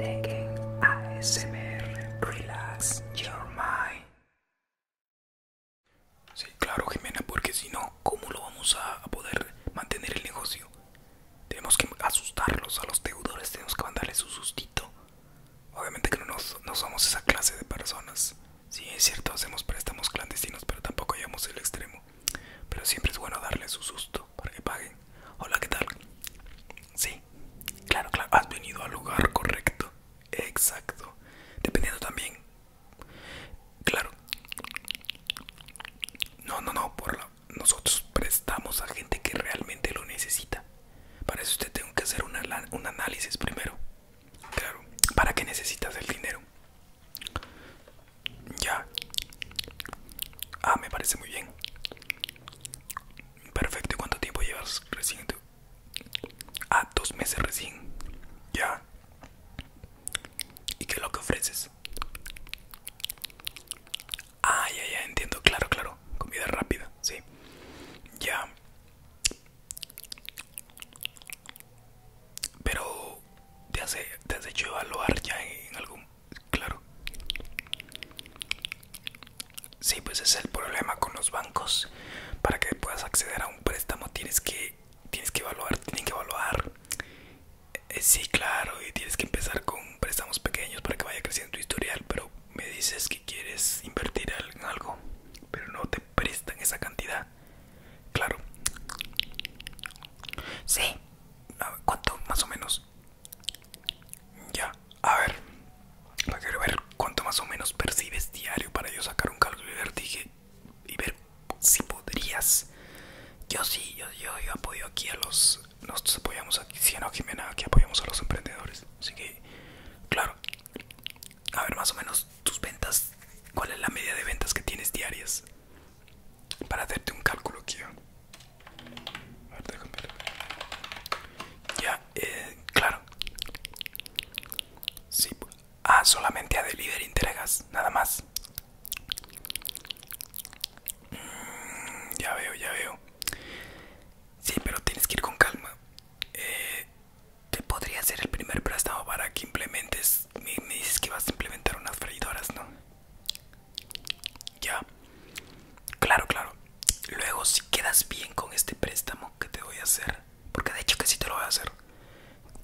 ASMR Relax Your Mind. Sí, claro, Jimena, porque si no, ¿cómo lo vamos a poder mantener el negocio? Tenemos que asustarlos a los deudores, tenemos que mandarles su sustito. Obviamente que no, somos esa clase de personas. Sí, es cierto, hacemos préstamos clandestinos, pero tampoco llegamos al extremo. Pero siempre es bueno darle su susto para que paguen. Hola, ¿qué tal? Sí, claro, claro. Has venido al lugar correcto. Exacto. Dependiendo también. Claro. No, no, no. Por Nosotros prestamos a gente que realmente lo necesita. Para eso usted tengo que hacer un análisis primero. Claro. ¿Para qué necesitas el dinero? Ya. Ah, me parece muy bien. Perfecto, ¿y cuánto tiempo llevas recién? Ah, dos meses recién. Ya. ¿Y qué es lo que ofreces? Ah, ya, ya, entiendo, claro, claro. Comida rápida, sí. Ya. Pero ¿Te has, te has hecho evaluar ya en algún... claro? Sí, pues es el problema con los bancos. Para que puedas acceder a un préstamo tienes que, tienes que evaluar, tienen que evaluar. Eh, sí, claro, y tienes que empezar con préstamos pequeños para que vaya creciendo tu historial, pero me dices que quieres invertir en algo, pero no te prestan esa cantidad. Claro. Sí, ¿Cuánto más o menos? Ya, a ver. Quiero ver cuánto más o menos percibes diario para yo sacar un cálculo y ver, dije, y ver si podrías. Yo sí, yo, yo, yo apoyo aquí a los... Nosotros apoyamos aquí, si sí, no, Jimena, aquí apoyamos a los emprendedores. Así que, claro. A ver, más o menos tus ventas. ¿Cuál es la media de ventas que tienes diarias? para hacerte un cálculo Ya, eh, claro. ah, solamente a delivery entregas, nada más. Mm, ya veo, ya veo. Sí, pero tienes que ir con calma. te eh, podría ser el primer préstamo para que implementes me, dices que vas a implementar unas freidoras, ¿no? Ya. Claro, claro. Luego, si quedas bien con este préstamo que te voy a hacer, porque de hecho que sí te lo voy a hacer.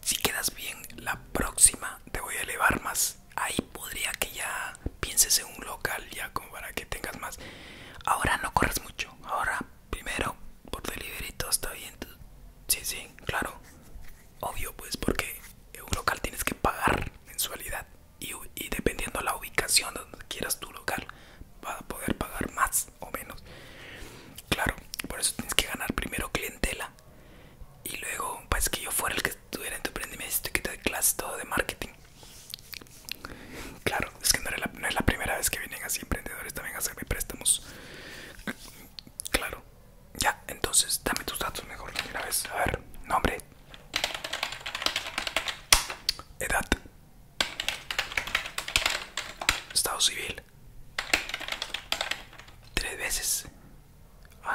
Si quedas bien, la próxima te voy a elevar más. Ahí podría que ya pienses en un local, ya como para que tengas más. Ahora no corres mucho. Ahora, primero, por delivery todo está bien. Sí, sí, claro. Obvio, pues porque en un local tienes que pagar mensualidad y, y dependiendo la ubicación donde quieras tu local, vas a poder pagar más o menos. Claro, por eso tienes que ganar primero clientela y luego, pues que yo fuera el que estuviera en tu emprendimiento y que te de clases todo de marketing. Claro, es que no, no es la primera vez que vienen así emprendedores también a hacerme préstamos. Claro, ya, entonces dame tus datos mejor primera vez. A ver, nombre. Edad. Estado civil. Tres veces. A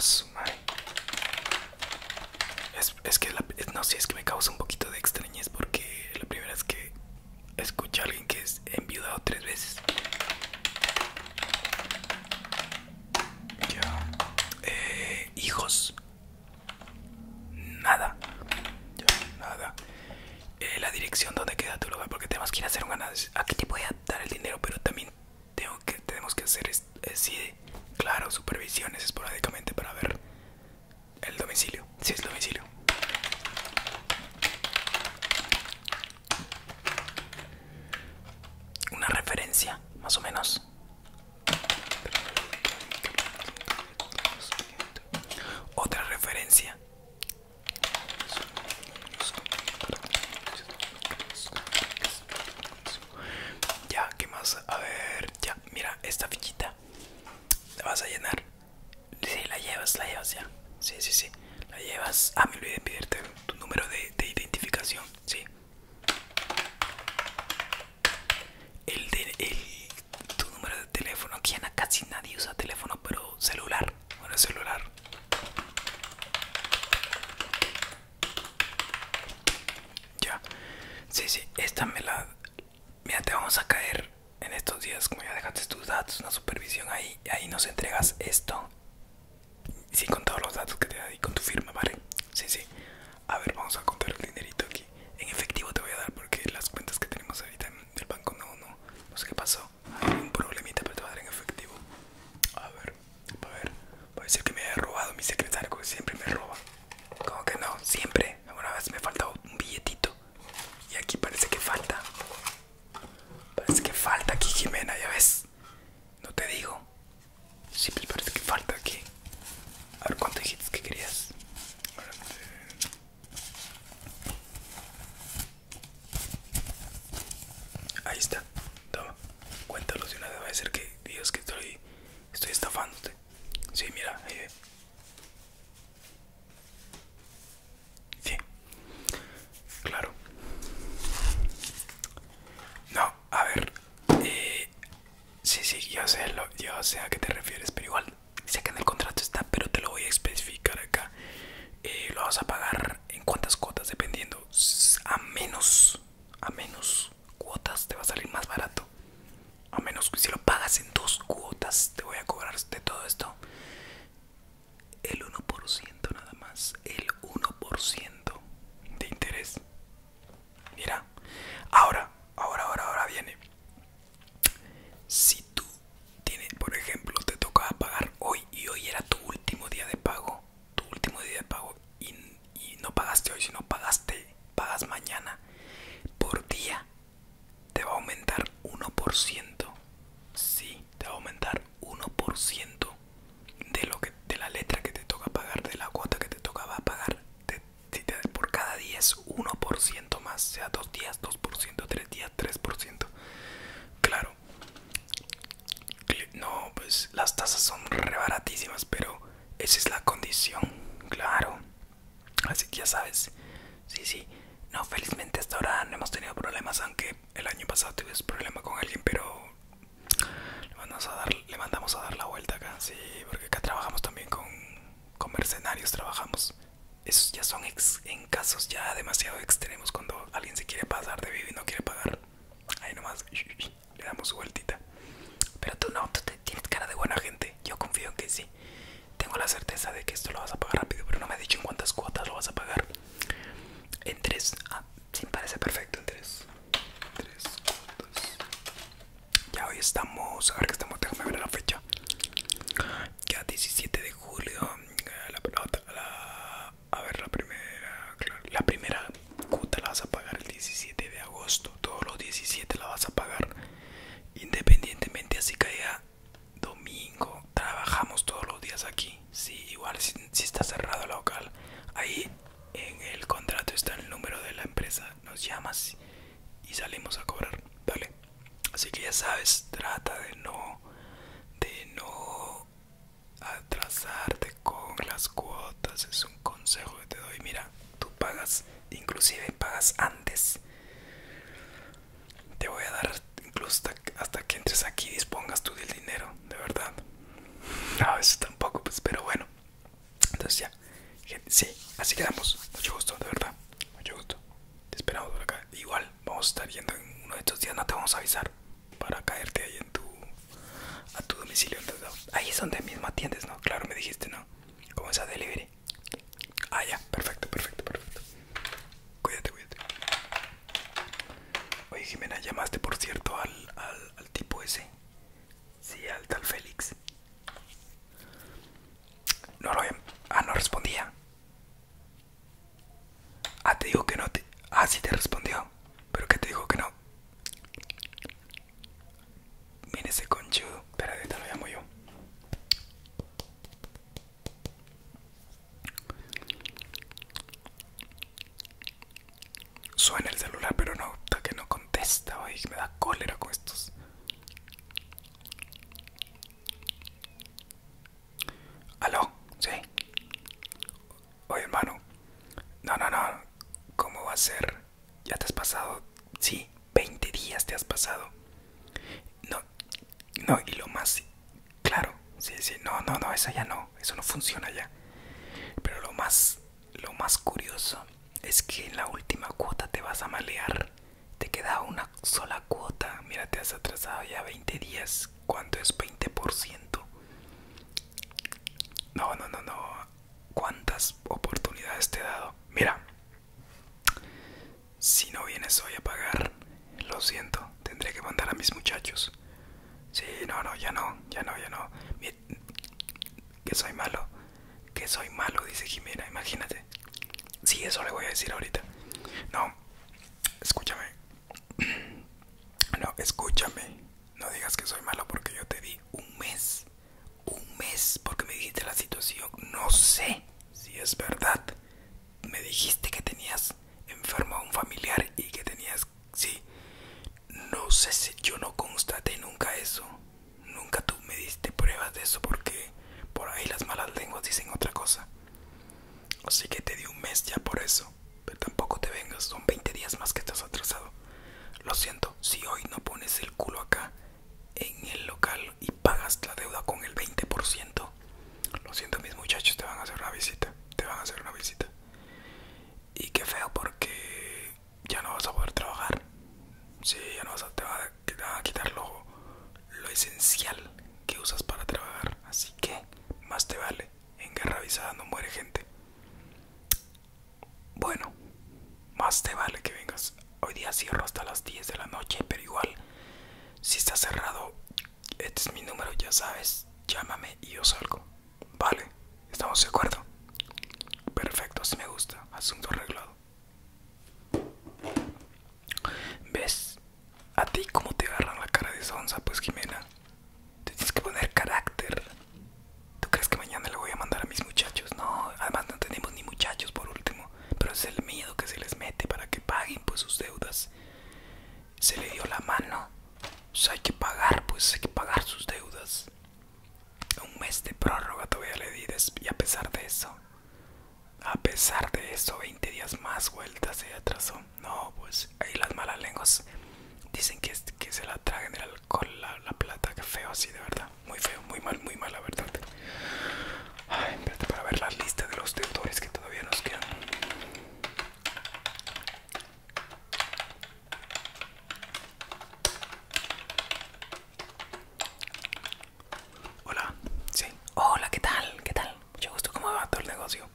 Es, que no, si es que me causa un poquito de extrañez porque la primera es que Escucha a alguien que es enviudado tres veces. Ya. Eh, hijos. Nada. nada. Eh, la dirección donde queda tu lugar, porque tenemos que ir a hacer un ganado Aquí te voy a dar el dinero, pero también tengo que, tenemos que hacer, eh, claro, supervisiones esporádicamente para ver el domicilio. Si es domicilio. Una referencia, más o menos. Otra referencia. Ya, ¿qué más? A ver, ya, mira, esta fichita la vas a llenar Sí, la llevas, la llevas ya. Sí, sí, sí. La llevas. Ah, me olvidé de pedirte tu número de, identificación. Sí. El de tu número de teléfono. Aquí a casi nadie usa teléfono, pero celular. Bueno, celular. Ya. Sí, sí. Esta me la Mira, te vamos a caer en estos días, como ya dejaste tus datos, una supervisión ahí, y ahí nos entregas esto. Sí, con todos los datos que te da con tu firma, ¿vale? Sí, sí. A ver, vamos a contar el dinerito aquí. En efectivo te voy a dar porque las cuentas que tenemos ahorita en el banco no, no, no sé qué pasó. Hay un problemita, pero te voy a dar en efectivo. A ver, a ver. Puede ser que me haya robado mi secretario, que siempre me roba. Como que no, siempre. Alguna vez me falta un billetito. Y aquí parece que falta. Parece que falta aquí Jimena, ya ves. No te digo. Sí, pues parece que falta aquí. A ver cuánto dijiste que querías. Ahí está. Toma. Cuéntalo si una vez va a ser que dios que estoy, estoy estafándote. Sí, mira, ahí ve. Sí, claro. No, a ver. Eh, sí, sí, yo sé, lo, a qué te refieres, pero igual sé que en el contrato está, pero te lo voy a especificar acá. Eh, lo vas a pagar en cuántas cuotas, dependiendo. A menos, a menos cuotas te va a salir más barato a menos que si lo pagas en dos cuotas te voy a cobrar de todo esto el 1% nada más el 1% de interés mira ahora ahora ahora ahora viene si tú tienes por ejemplo te tocaba pagar hoy y hoy era tu último día de pago tu último día de pago y, no pagaste hoy no pagaste pagas mañana por día te va a aumentar 1%. Sí, te va a aumentar 1% de lo que de la letra que te toca pagar, de la cuota que te toca pagar. por cada día es 1% más, sea dos días 2%, tres días 3%. Claro. No, pues las tasas son re pero esa es la condición, claro. Así que ya sabes, sí, sí. No, felizmente hasta ahora no hemos tenido problemas, aunque el año pasado tuvimos problema con alguien, pero le mandamos a dar, le mandamos a dar la vuelta acá, sí, porque acá trabajamos también con, con mercenarios, trabajamos. Esos ya son ex, en casos ya demasiado extremos cuando alguien se quiere pasar de vivo y no quiere pagar. Ahí nomás le damos su vueltita. Pero tú no, tú te tienes cara de buena gente. Yo confío en que sí. Tengo la certeza de que esto lo vas a pagar rápido, pero no me ha dicho en cuántas cuotas lo vas a pagar. En tres. Ah, sí, parece perfecto. En tres. Tres cuotas. Ya hoy estamos. A ver que estamos. Déjame ver la fecha. Ya 17 de julio. La, a ver, la primera. la primera cuota la vas a pagar el 17 de agosto. Todos los 17 la vas a pagar. Independientemente así caiga domingo, trabajamos todos los días aquí. Sí, igual si, si está cerrado el local. Ahí en el contrato está el número de la empresa. Nos llamas y salimos a cobrar. Vale. Así que ya sabes, trata de no de no atrasarte con las cuotas. Es un consejo que te doy. Mira, tú pagas inclusive pagas antes te voy a dar incluso hasta que entres aquí dispongas tú del dinero de verdad no veces tampoco pues pero bueno entonces ya sí así quedamos mucho gusto de verdad mucho gusto te esperamos por acá igual vamos a estar yendo en uno de estos días no te vamos a avisar para caerte ahí en tu a tu domicilio ahí es donde mismo atiendes no claro me dijiste no ¿Cómo ¿Cómo ha delivery? Ah, ya, perfecto, perfecto, perfecto. Cuídate, cuídate. Oye, Jimena, ¿llamaste por cierto al, tipo ese? Sí, al tal Félix. No lo Ah, no respondía. Ah, te dijo que no te. Ah, sí te respondió. Pero que te dijo que no. Mira ese conchudo. Espera, ahorita lo llamo yo. Suena el celular, pero no, que no contesta. me da cólera con estos. ¿Aló? ¿Sí? Oye, hermano. No, no, no. ¿Cómo va a ser? Ya te has pasado, sí, 20 días te has pasado. No, no, y lo más, claro, sí, sí, no, no, no, eso ya no, eso no funciona ya. Pero lo más, lo más curioso es que en la última cuota te vas a malear. Te queda una sola cuota. Mira, te has atrasado ya 20 días. ¿Cuánto es 20%? No, no, no, no cuántas oportunidades te he dado. Mira, si no vienes hoy a pagar, lo siento, tendré que mandar a mis muchachos. Sí, no, no, ya no, ya no, ya no. que soy malo, que soy malo, dice Jimena, imagínate. Sí, eso le voy a decir ahorita. No, escúchame. No, escúchame. No digas que soy malo porque yo te di un mes. Un mes porque me dijiste la situación. No sé si es verdad. Me dijiste que tenías enfermo a un familiar y que tenías... Sí. No sé si yo no constaté nunca eso. Nunca tú me diste pruebas de eso porque por ahí las malas lenguas dicen otra cosa. Así que te di un mes ya por eso pero tampoco te vengas, son 20 días más que estás atrasado. Lo siento, si hoy no pones el culo acá en el local y pagas la deuda con el 20%, lo siento mis muchachos, te van a hacer una visita, te van a hacer una visita. Y qué feo porque ya no vas a poder trabajar. Sí, ya no vas a, te, van a quitar lo esencial que usas para trabajar. Así que más te vale en guerra avisada no muere gente. Bueno, más te vale que vengas. Hoy día cierro hasta las 10 de la noche, pero igual, si está cerrado, este es mi número, ya sabes. Llámame y yo salgo. Vale, estamos de acuerdo. Perfecto, así me gusta. Asunto arreglado. ¿Ves? A ti cómo te agarran la cara de onza pues Jimena tienes que poner carácter. ¿Tú crees que mañana le voy a mandar a mis muchachos? No, además no tenemos ni muchachos por último. Pero es el miedo que se les mete para que paguen pues sus deudas. Se le dio la mano. O sea, hay que pagar, pues hay que pagar sus deudas. Un mes de prórroga todavía le di y a pesar de eso. A pesar de eso, 20 días más vueltas se atraso. No, pues ahí las malas lenguas dicen que, que se la tragan el alcohol, la, la plata, que feo así, de verdad. Muy feo, muy mal, muy mal, la verdad. Ay, espérate para ver la lista de los deudores que todavía nos quedan. Hola, sí. Hola, ¿qué tal? ¿Qué tal? Mucho gusto, ¿cómo va todo el negocio?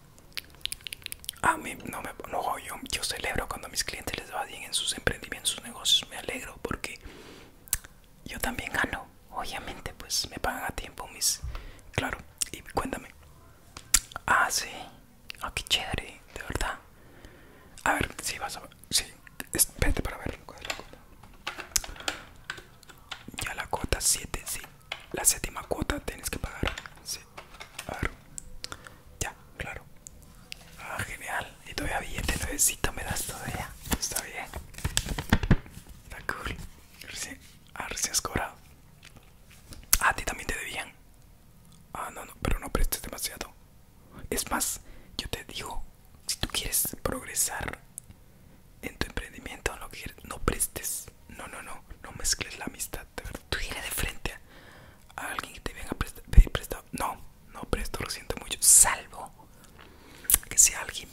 A mí no me no, yo, yo celebro cuando a mis clientes les va bien en sus emprendimientos, sus negocios. Me alegro porque yo también gano. Obviamente, pues me pagan a tiempo mis. Claro, y cuéntame. Ah, sí. Ah, qué chévere, de verdad. A ver, si vas a ver. Sí, espérate para ver. Ya la cuota 7, sí. La séptima cuota tienes que pagar. Sí. Ya, claro. Ah, genial. Y todavía billete nuevecito me das todavía. Está bien. Está cool. Recién, ah, recién has cobrado. Ah, a ti también te debían. Ah, no, no, pero no prestes demasiado. Es más, yo te digo, si tú quieres progresar en tu emprendimiento, quieres, no prestes, no, no, no, no mezcles la amistad, de Tú de frente a alguien que te venga a pedir prestado, no, no presto, lo siento mucho, salvo que sea alguien,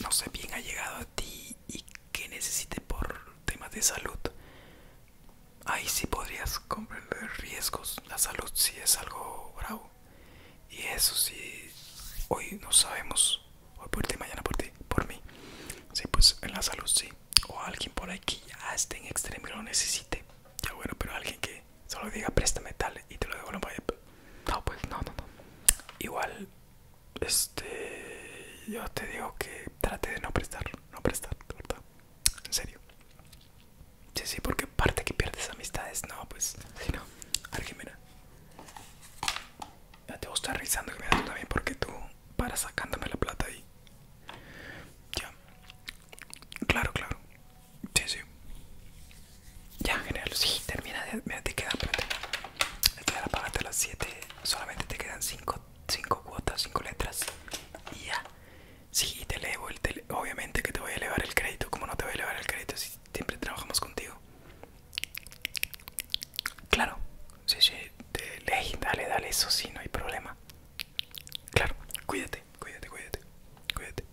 no sé, bien llegado a ti y que necesite por temas de salud. Ahí sí podrías comprender riesgos, la salud si es algo bravo. Y eso sí, hoy no sabemos Hoy por ti, mañana por ti, por mí. Sí, pues en la salud sí. O alguien por ahí que ya esté en extremo lo necesite. Ya bueno, pero alguien que solo diga préstame tal y te lo devuelvo. Pues. No, pues no, no, no. Igual, este. Yo te digo que trate de no prestar, no prestar, ¿verdad? En serio. Sí, sí, porque parte que pierdes amistades, no, pues, si no, alguien mira. Ya te voy a estar me das también porque tú para sacándome la plata ahí. Ya. Claro, claro. Sí, sí. Ya, general termina. mira, te quedan, plata. Te las 7. Solamente te quedan 5 cinco, cuotas, 5 letras. Y ya. Sí, te levo El, obviamente que te voy a elevar el crédito. Como no te voy a elevar el crédito si siempre trabajamos contigo. Claro, si te lees, dale, dale, eso sí, no hay problema. Claro, cuídate, cuídate, cuídate, cuídate.